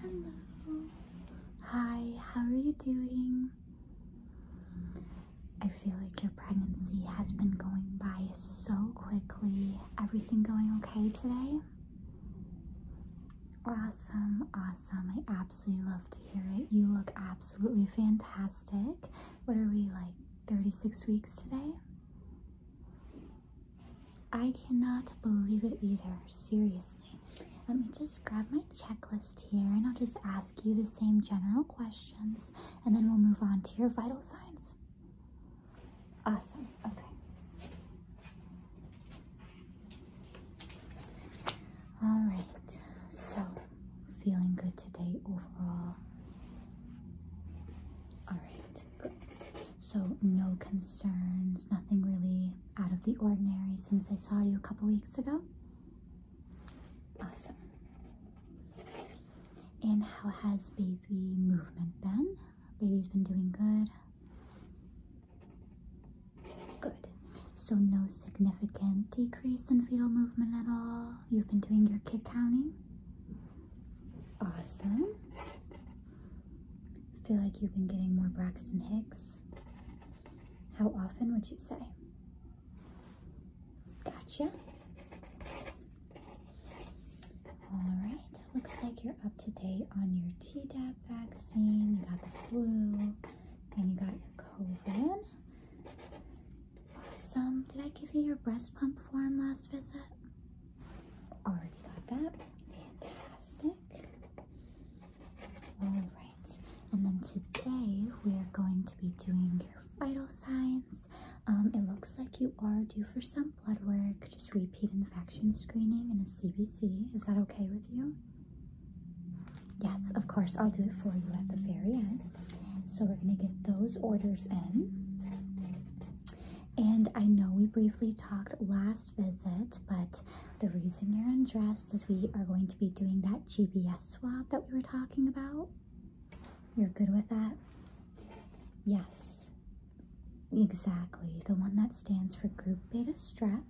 Hello. Hi, how are you doing? I feel like your pregnancy has been going by so quickly. Everything going okay today? Awesome, awesome. I absolutely love to hear it. You look absolutely fantastic. What are we like 36 weeks today. I cannot believe it either, seriously. Let me just grab my checklist here and I'll just ask you the same general questions and then we'll move on to your vital signs. Awesome, okay. All right, so feeling good today overall. All right, So, no concerns, nothing really out of the ordinary since I saw you a couple weeks ago? Awesome. And how has baby movement been? Baby's been doing good. Good. So no significant decrease in fetal movement at all. You've been doing your kick counting? Awesome. Feel like you've been getting more Braxton Hicks. How often would you say? Gotcha. Alright, looks like you're up to date on your Tdap vaccine. You got the flu and you got your COVID. Some, did I give you your breast pump form last visit? Already got that. Fantastic. Alright, and then today we are going to be doing your vital signs. Um, it looks like you are due for some blood work, just repeat infection screening and a CBC. Is that okay with you? Yes, of course, I'll do it for you at the very end. So we're going to get those orders in. And I know we briefly talked last visit, but the reason you're undressed is we are going to be doing that GBS swab that we were talking about. You're good with that? Yes, exactly. The one that stands for group beta strep.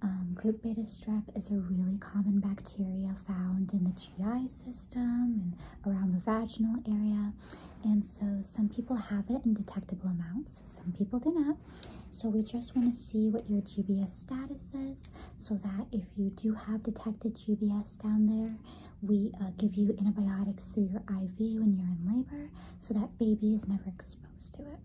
Um, group beta strep is a really common bacteria found in the GI system and around the vaginal area. And so some people have it in detectable amounts, some people do not. So we just want to see what your GBS status is so that if you do have detected GBS down there, we uh, give you antibiotics through your IV when you're in labor so that baby is never exposed to it.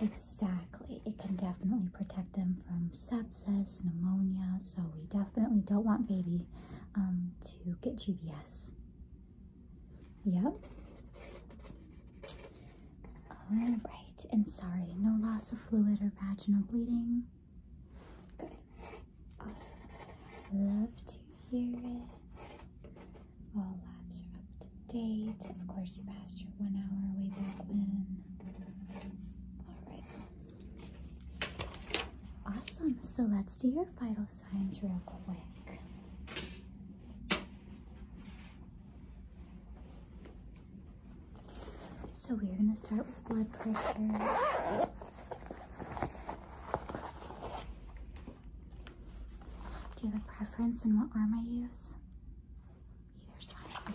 Exactly. It can definitely protect them from sepsis, pneumonia, so we definitely don't want baby um, to get GBS. Yep. All right, and sorry, no loss of fluid or vaginal bleeding. Good. Awesome. Love to hear it. All labs are up to date. Of course, you passed your one hour way back when. All right. Awesome. So let's do your vital signs real quick. So we're going to start with blood pressure. Do you have a preference in what arm I use? Either's fine.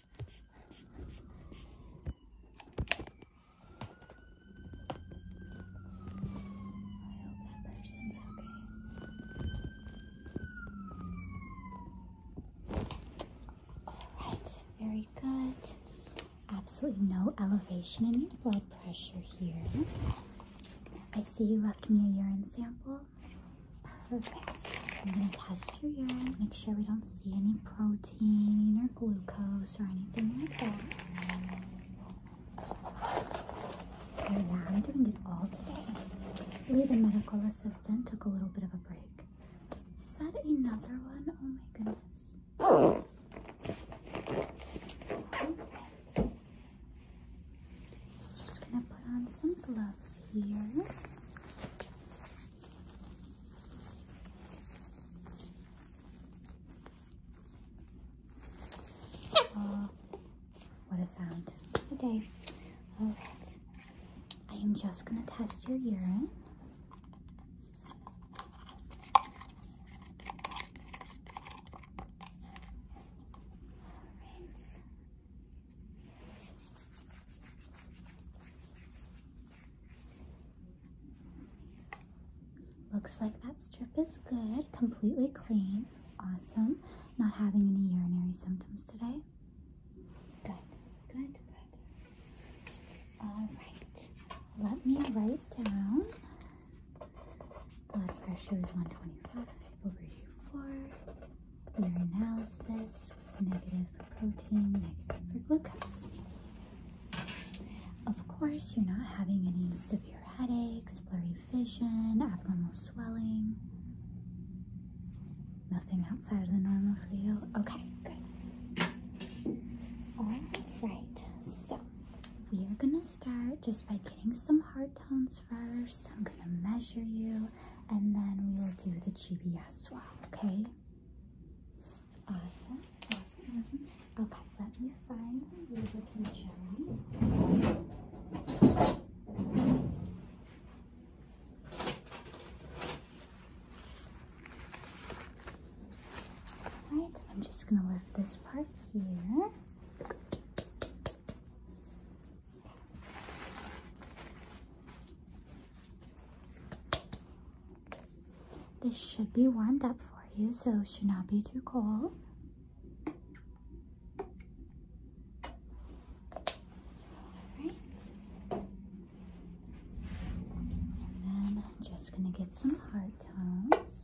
that person's okay. Alright, very good. Absolutely no elevation in your blood pressure here. I see you left me a urine sample. Perfect. I'm gonna test your urine, make sure we don't see any protein or glucose or anything like that. yeah, I'm doing it all today. Lee, the medical assistant, took a little bit of a break. Is that another one? Oh my goodness. All right. Just gonna put on some gloves here. Oh, what a sound. Okay. Alright. I am just going to test your urine. All right. Looks like that strip is good, completely clean. Awesome. Not having any urinary symptoms today. Good, good, good. All right, let me write down. Blood pressure is 125 over U4. analysis negative for protein, negative for glucose. Of course, you're not having any severe headaches, blurry vision, abnormal swelling. Nothing outside of the normal for you? Okay, good. Alright, so we are gonna start just by getting some heart tones first. I'm gonna measure you and then we will do the GBS swab, okay? Awesome, awesome, awesome. Okay, let me find the ruler can show me. All right, I'm just gonna leave this part here. This should be warmed up for you, so it should not be too cold. And then just going to get some heart tones.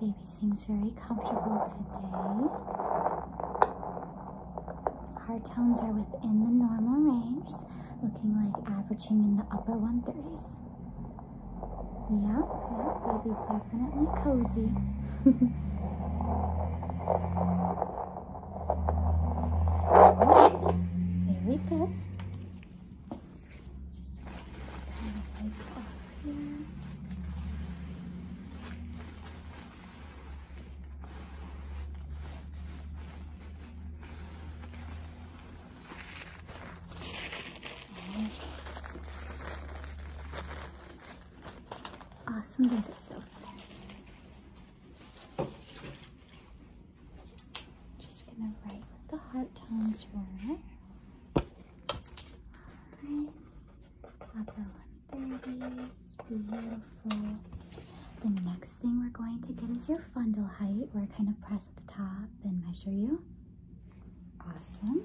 Baby seems very comfortable today. Heart tones are within the normal range, looking like averaging in the upper 130s. Yep, yep, baby's definitely cozy. Alright, very good here. Right. Awesome visit so far. Just gonna write with the heart tones for Right. The next thing we're going to get is your fundal height. We're kind of press the top and measure you. Awesome.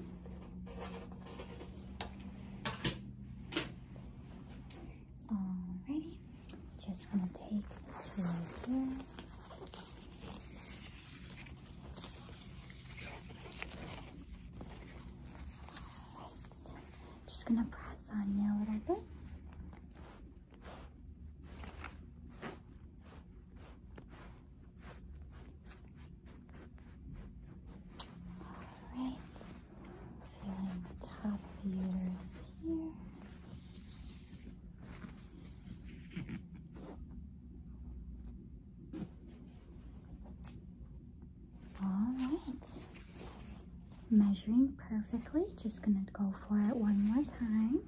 Alrighty, just gonna take this right here. Just gonna press on you a little bit. All right, feeling the top of the uterus here. All right. Measuring perfectly. Just going to go for it one more time.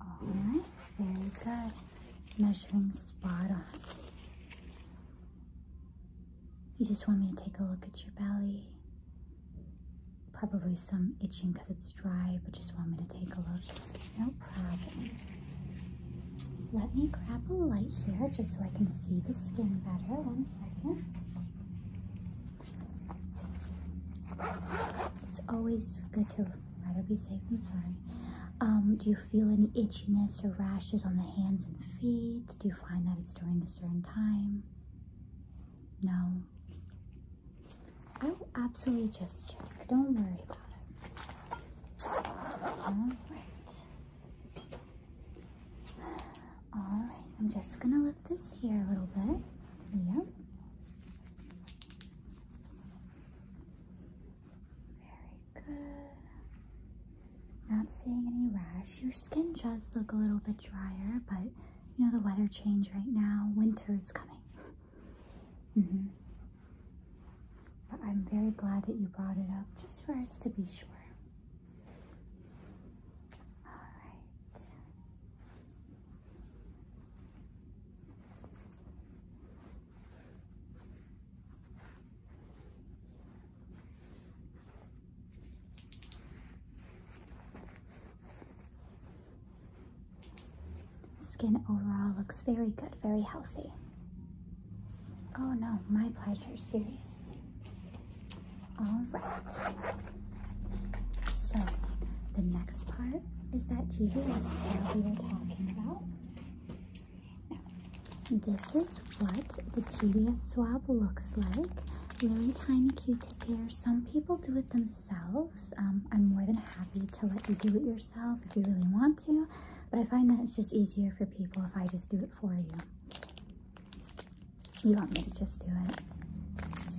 All right. Very good. Measuring spot on. You just want me to take a look at your belly. Probably some itching because it's dry, but just want me to take a look. No problem. Let me grab a light here just so I can see the skin better. One second. It's always good to rather be safe than sorry. Um, do you feel any itchiness or rashes on the hands and feet? Do you find that it's during a certain time? No. I will absolutely just check. Don't worry about it. Alright. Alright, I'm just gonna lift this here a little bit. Yep. Very good. Not seeing any rash. Your skin does look a little bit drier, but you know the weather change right now. Winter is coming. -hmm. But I'm very glad that you brought it up just for us to be sure. All right. Skin overall looks very good, very healthy. Oh no, my pleasure, seriously. All right. So, the next part is that GVS swirl we were talking about. Now, this is what the GBS swab looks like. Really tiny cute tip here. Some people do it themselves. Um, I'm more than happy to let you do it yourself if you really want to, but I find that it's just easier for people if I just do it for you. You want me to just do it?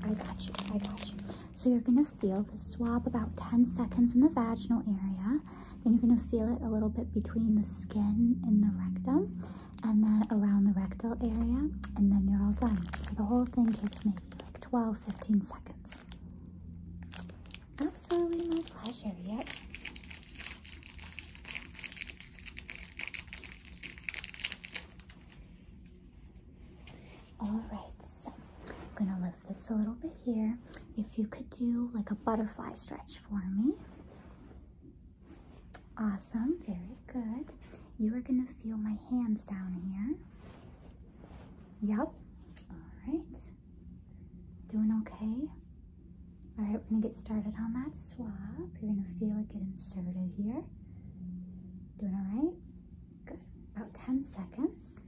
I got you, I got you. So you're gonna feel the swab about 10 seconds in the vaginal area, then you're gonna feel it a little bit between the skin and the rectum, and then around the rectal area, and then you're all done. So the whole thing takes maybe like 12 15 seconds. Absolutely my pleasure, yep. Alright, so I'm gonna lift this a little bit here. If you could do like a butterfly stretch for me. Awesome, very good. You are going to feel my hands down here. Yep. All right. Doing okay? All right, we're going to get started on that swap. You're going to feel it get inserted here. Doing all right? Good. About 10 seconds.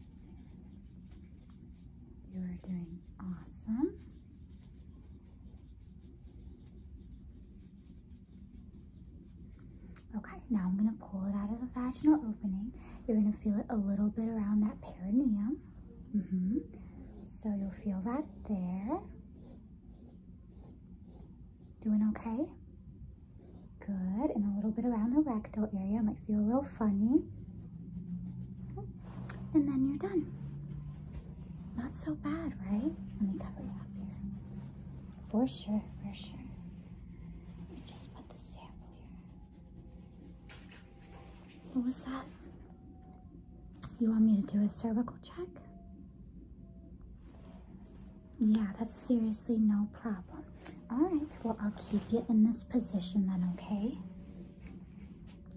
You are doing awesome. Okay, now I'm going to pull it out of the vaginal opening. You're going to feel it a little bit around that perineum. Mm-hmm. So you'll feel that there. Doing okay? Good. And a little bit around the rectal area. Might feel a little funny. And then you're done. Not so bad, right? Let me cover you up here. For sure, for sure. Let me just put the sample here. What was that? You want me to do a cervical check? Yeah, that's seriously no problem. All right, well, I'll keep you in this position then, okay?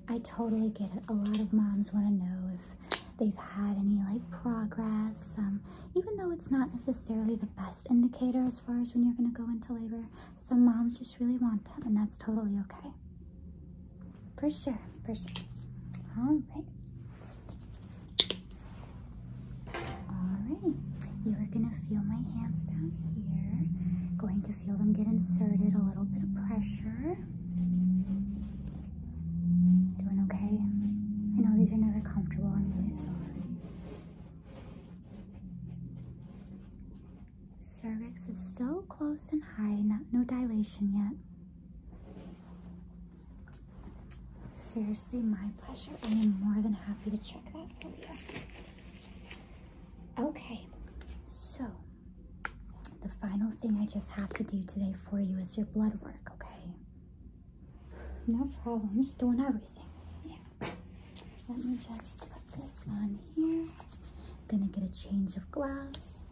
I totally get it. A lot of moms want to know if they've had any like progress, um, even though it's not necessarily the best indicator as far as when you're going to go into labor. Some moms just really want them, and that's totally okay. For sure, for sure. All right. Alrighty, you are going to feel my hands down here. Going to feel them get inserted, a little bit of pressure. Doing okay? I know these are never comfortable. I'm really sorry. Cervix is still close and high, not, no dilation yet. Seriously, my pleasure. I am more than happy to check that for you. Okay, so the final thing I just have to do today for you is your blood work okay? No problem. just doing everything. Yeah. Let me just put this on here. gonna get a change of gloves.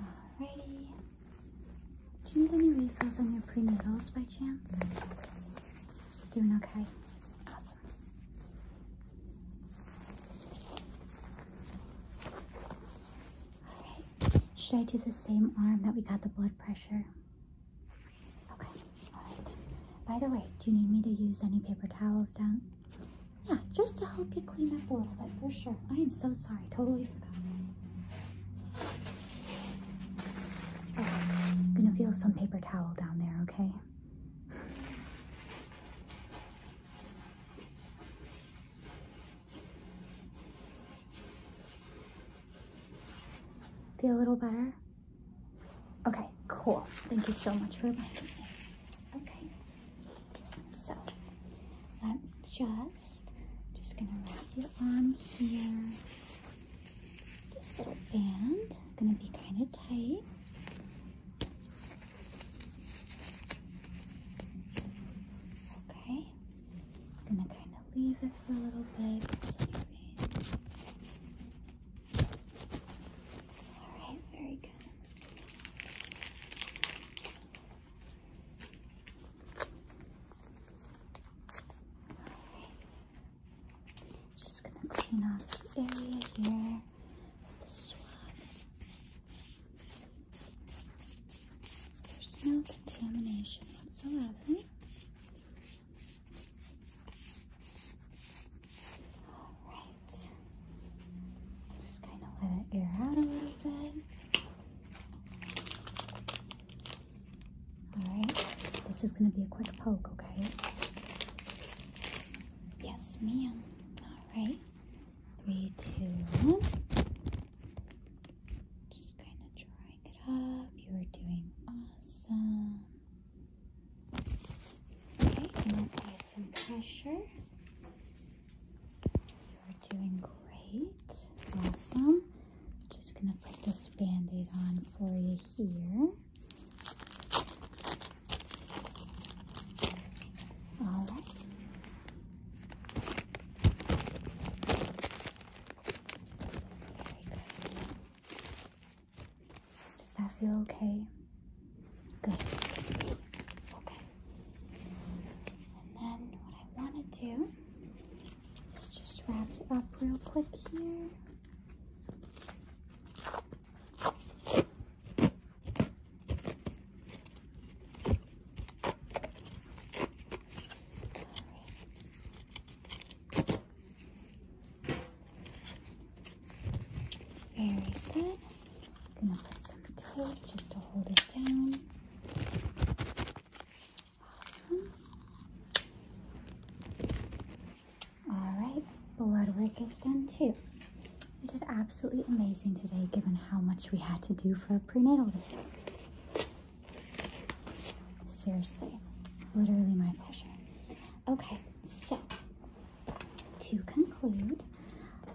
Alrighty. Do you need any refills on your prenatals by chance? Doing okay? Awesome. should I do the same arm that we got the blood pressure? Okay, alright. By the way, do you need me to use any paper towels down? Yeah, just to help you clean up a little bit, for sure. I am so sorry, totally forgot. I'm gonna feel some paper towel down there, okay? Feel a little better? Okay, cool. Thank you so much for inviting me. Okay, so I'm just, just gonna wrap your arm here. This little band, gonna be kind of tight. Okay, gonna kind of leave it for a little bit. Alright, very good. Just gonna clean off the area here. There's no contamination whatsoever. Alright. Just kind of let it air out a little bit. Alright. This is gonna be a quick poke, okay? Yes, ma'am. All right. Three, two, one. Just kind of drying it up. You are doing awesome. Okay, and some pressure. You're doing great. Awesome. Just gonna put this band-aid on for you here. All right. Does that feel okay? Good. Okay. And then what I want to do is just wrap you up real quick here. Very good. gonna put some tape just to hold it down. Awesome. All right, blood work is done too. You did absolutely amazing today given how much we had to do for a prenatal visit. Seriously, literally my pleasure. Okay, so to conclude,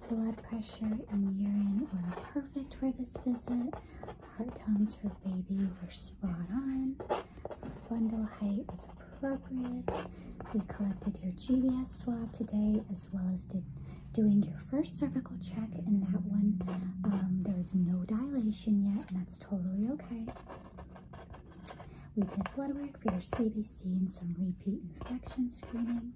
blood pressure and urine were perfect for this visit. Heart tones for baby were spot on. Fundal height appropriate. We collected your GBS swab today as well as did doing your first cervical check And that one. Um, there's no dilation yet and that's totally okay. We did blood work for your CBC and some repeat infection screening.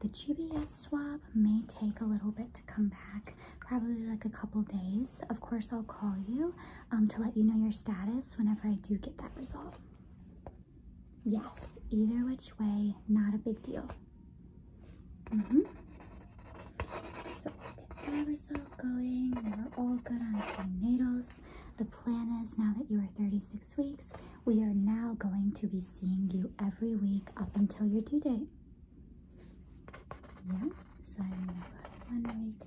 The GBS swab may take a little bit to come back, probably like a couple days. Of course, I'll call you um, to let you know your status whenever I do get that result. Yes, either which way, not a big deal. Mm -hmm. So get the result going. We're all good on needles. The plan is now that you are 36 weeks, we are now going to be seeing you every week up until your due date. Yeah, so I'm gonna put one week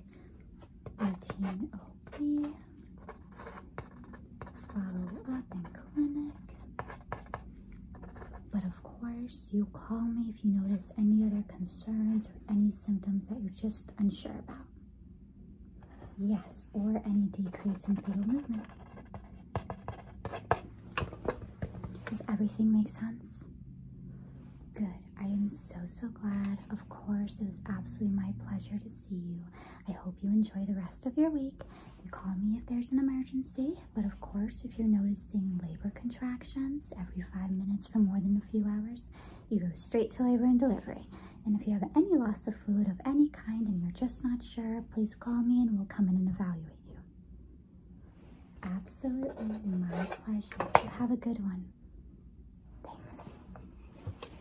routine oh OB follow up and clinic. But of course, you call me if you notice any other concerns or any symptoms that you're just unsure about. Yes, or any decrease in fetal movement. Does everything make sense? Good. I am so, so glad. Of course, it was absolutely my pleasure to see you. I hope you enjoy the rest of your week. You call me if there's an emergency, but of course, if you're noticing labor contractions every five minutes for more than a few hours, you go straight to labor and delivery. And if you have any loss of fluid of any kind and you're just not sure, please call me and we'll come in and evaluate you. Absolutely my pleasure. You have a good one. Thanks.